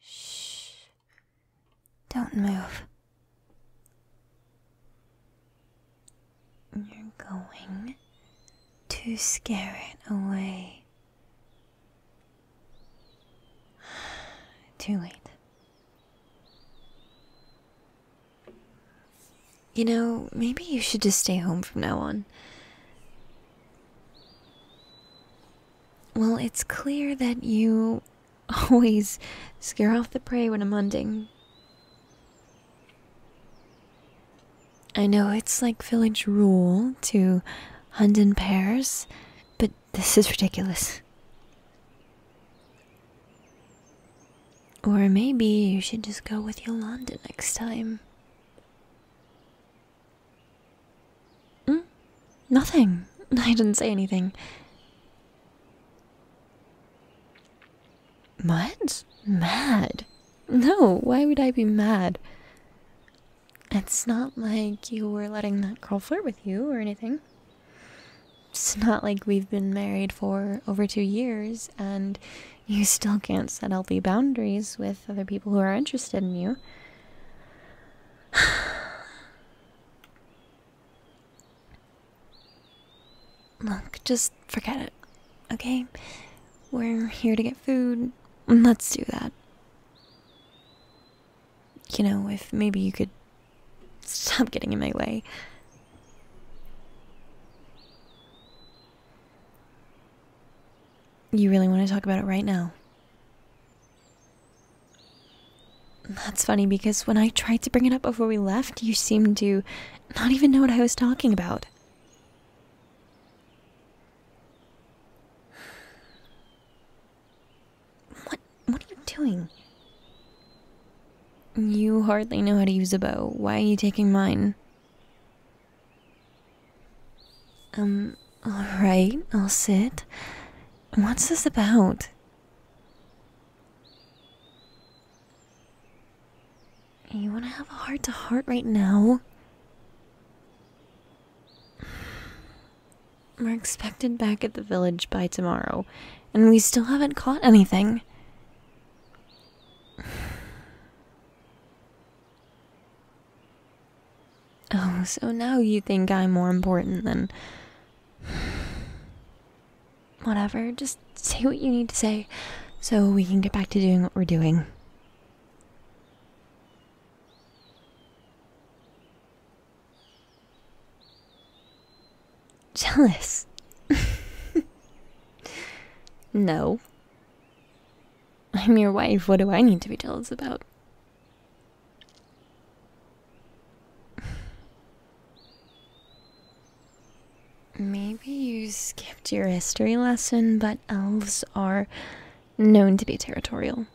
Shh. Don't move. You're going to scare it away. Too late. You know, maybe you should just stay home from now on. Well, it's clear that you always scare off the prey when I'm hunting. I know it's like village rule to hunt in pairs, but this is ridiculous. Or maybe you should just go with Yolanda next time. Mm? Nothing. I didn't say anything. Mad? Mad? No, why would I be mad? It's not like you were letting that girl flirt with you or anything. It's not like we've been married for over two years and you still can't set healthy boundaries with other people who are interested in you. Look, just forget it, okay? We're here to get food. Let's do that. You know, if maybe you could stop getting in my way. You really want to talk about it right now? That's funny because when I tried to bring it up before we left, you seemed to not even know what I was talking about. What what are you doing? You hardly know how to use a bow. Why are you taking mine? Um, alright, I'll sit. What's this about? You want to have a heart to heart right now? We're expected back at the village by tomorrow, and we still haven't caught anything. Oh, so now you think I'm more important than. Whatever, just say what you need to say so we can get back to doing what we're doing. Jealous? no. I'm your wife. What do I need to be jealous about? Maybe you skipped your history lesson, but elves are known to be territorial.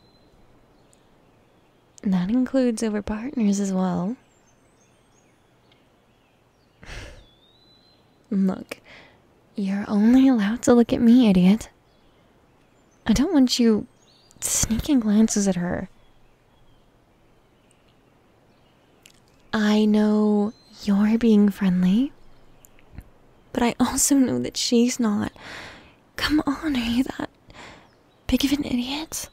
That includes over partners as well. Look, you're only allowed to look at me, idiot. I don't want you sneaking glances at her. I know you're being friendly but I also know that she's not. Come on, are you that big of an idiot?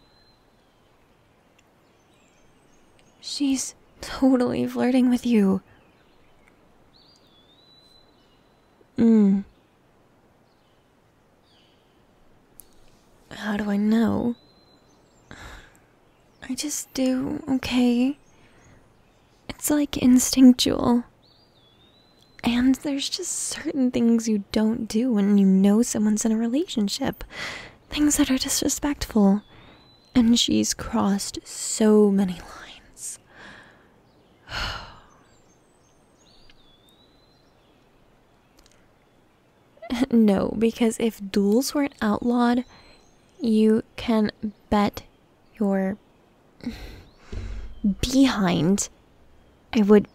She's totally flirting with you. Mm. How do I know? I just do, okay? It's like instinctual. And there's just certain things you don't do when you know someone's in a relationship. Things that are disrespectful. And she's crossed so many lines. no, because if duels weren't outlawed, you can bet your behind, I would.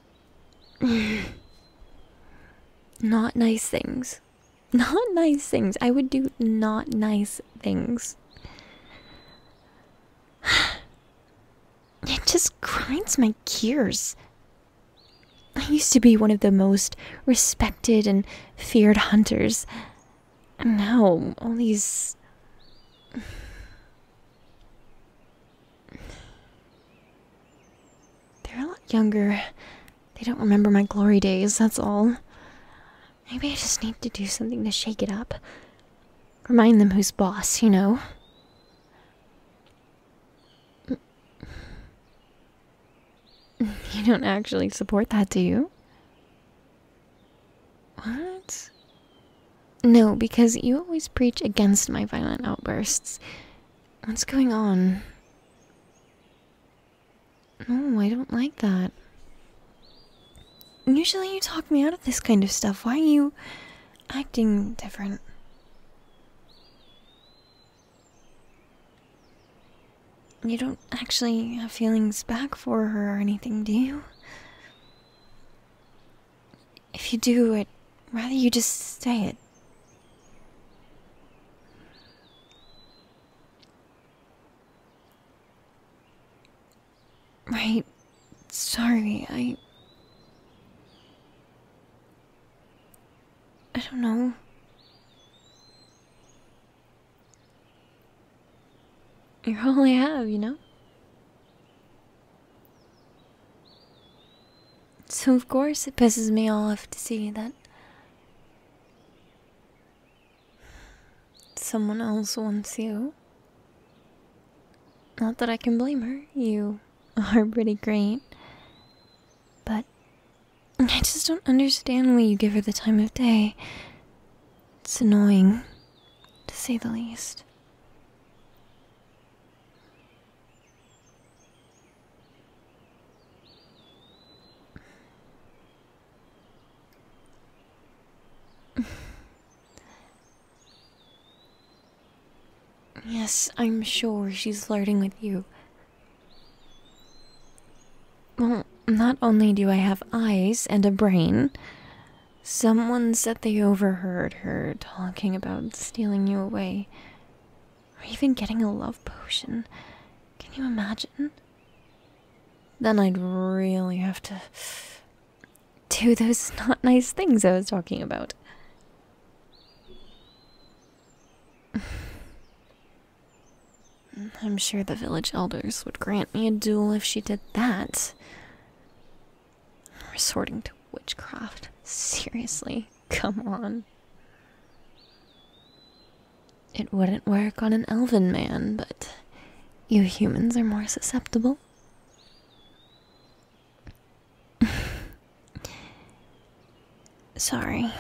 Not nice things. Not nice things. I would do not nice things. It just grinds my gears. I used to be one of the most respected and feared hunters, no, all these. They're a lot younger. They don't remember my glory days, that's all. Maybe I just need to do something to shake it up. Remind them who's boss, you know? You don't actually support that, do you? What? No, because you always preach against my violent outbursts. What's going on? Oh, I don't like that. Usually you talk me out of this kind of stuff. Why are you acting different? You don't actually have feelings back for her or anything, do you? If you do, it, rather you just say it. Right. Sorry, I. I don't know. You probably have, you know? So, of course, it pisses me off to see that someone else wants you. Not that I can blame her, you are pretty great. But I just don't understand why you give her the time of day. It's annoying, to say the least. yes, I'm sure she's flirting with you. Well, not only do I have eyes and a brain, Someone said they overheard her talking about stealing you away. Or even getting a love potion. Can you imagine? Then I'd really have to do those not nice things I was talking about. I'm sure the village elders would grant me a duel if she did that. Resorting to witchcraft? Seriously, come on. It wouldn't work on an elven man, but you humans are more susceptible. Sorry.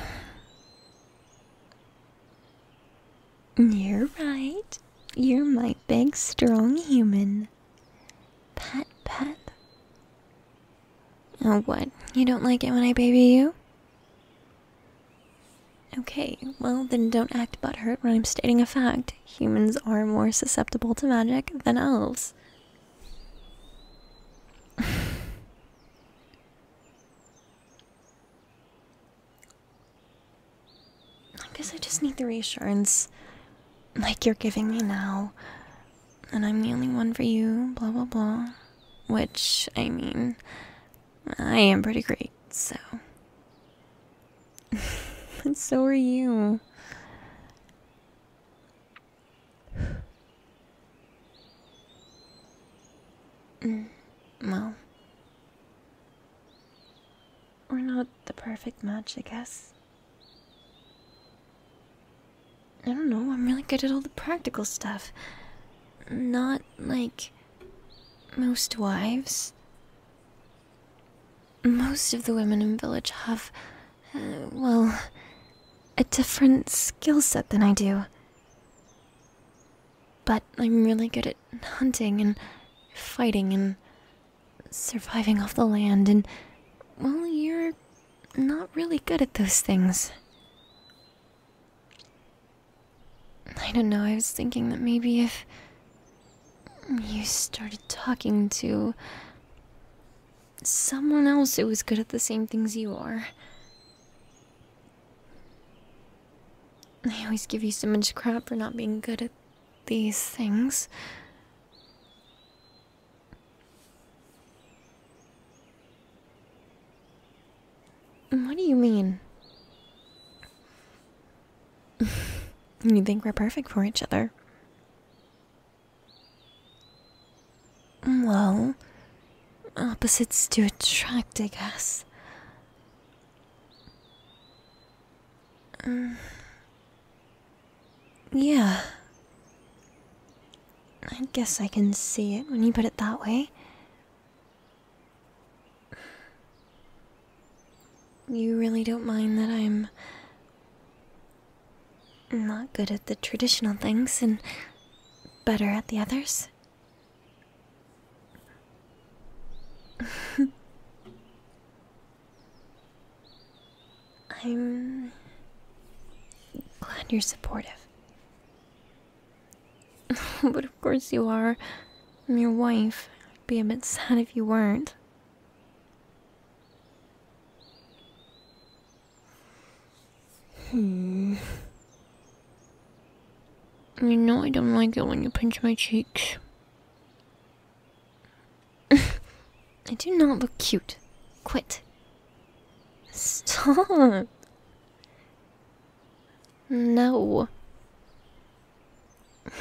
You're right. You're my big, strong human. Pat, pat. Oh, what? You don't like it when I baby you? Okay, well, then don't act butthurt when I'm stating a fact. Humans are more susceptible to magic than elves. I guess I just need the reassurance like you're giving me now. And I'm the only one for you, blah blah blah. Which, I mean, I am pretty great, so. and so are you. Mm, well. We're not the perfect match, I guess. I don't know, I'm really good at all the practical stuff. Not like most wives. Most of the women in the village have, uh, well, a different skill set than I do. But I'm really good at hunting and fighting and surviving off the land, and, well, you're not really good at those things. I don't know, I was thinking that maybe if you started talking to someone else who was good at the same things you are. they always give you so much crap for not being good at these things. What do you mean? you think we're perfect for each other? Well, opposites do attract, I guess. Uh, yeah. I guess I can see it when you put it that way. You really don't mind that I'm not good at the traditional things and better at the others? I'm glad you're supportive. but of course you are. I'm your wife. I'd be a bit sad if you weren't. Hmm. You know I don't like it when you pinch my cheeks. I do not look cute. Quit. Stop. No.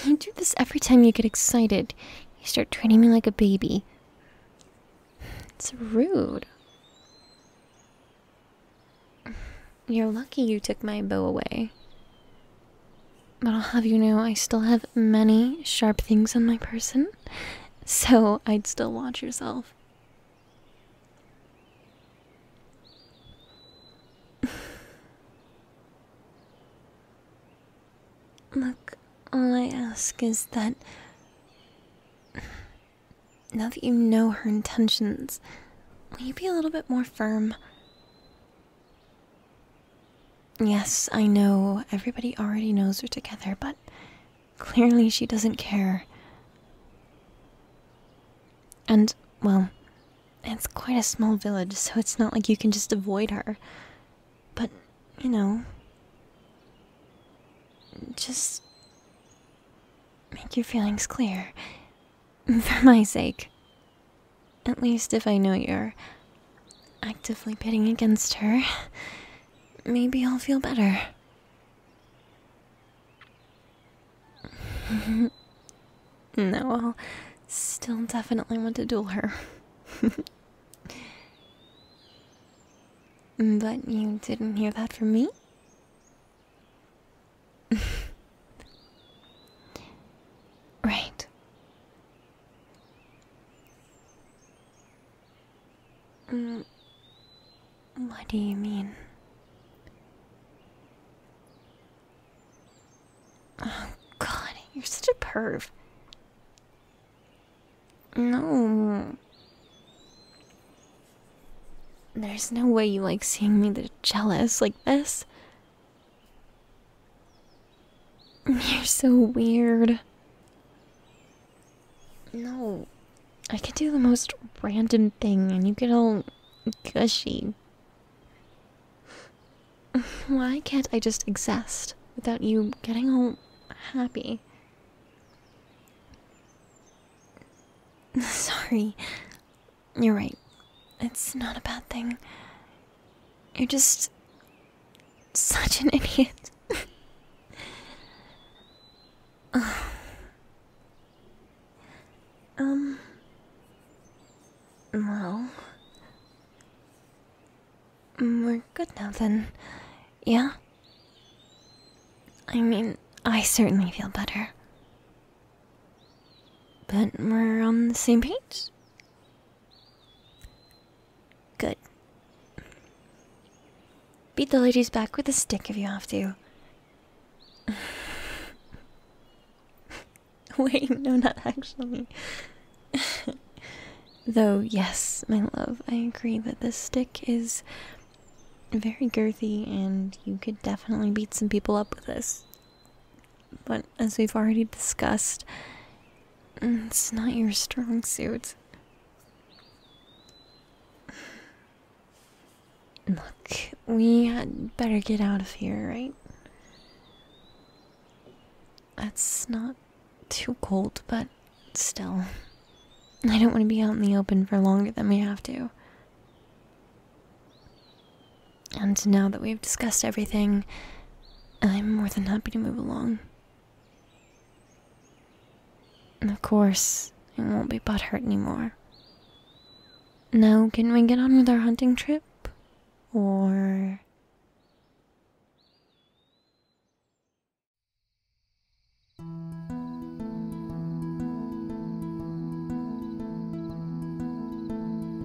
You do this every time you get excited. You start treating me like a baby. It's rude. You're lucky you took my bow away. But I'll have you know I still have many sharp things in my person, so I'd still watch yourself. Look, all I ask is that now that you know her intentions, will you be a little bit more firm? Yes, I know everybody already knows we're together, but clearly she doesn't care. And, well, it's quite a small village, so it's not like you can just avoid her. But, you know, just make your feelings clear. For my sake. At least if I know you're actively pitting against her, maybe I'll feel better. no, I'll still definitely want to duel her. but you didn't hear that from me? right. Mm, what do you mean? Oh, God, you're such a perv. No. There's no way you like seeing me that jealous like this. You're so weird. No, I can do the most random thing and you get all gushy. Why can't I just exist without you getting all happy? Sorry. You're right. It's not a bad thing. You're just such an idiot. um. Well. We're good now then, yeah? I mean, I certainly feel better. But we're on the same page? Good. Beat the ladies back with a stick if you have to. Wait, no, not actually. Though, yes, my love, I agree that this stick is very girthy and you could definitely beat some people up with this but as we've already discussed, mm, it's not your strong suit. Look, we had better get out of here, right? That's not too cold, but still. I don't want to be out in the open for longer than we have to. And now that we've discussed everything, I'm more than happy to move along. And of course, I won't be butthurt anymore. Now, can we get on with our hunting trip? Or...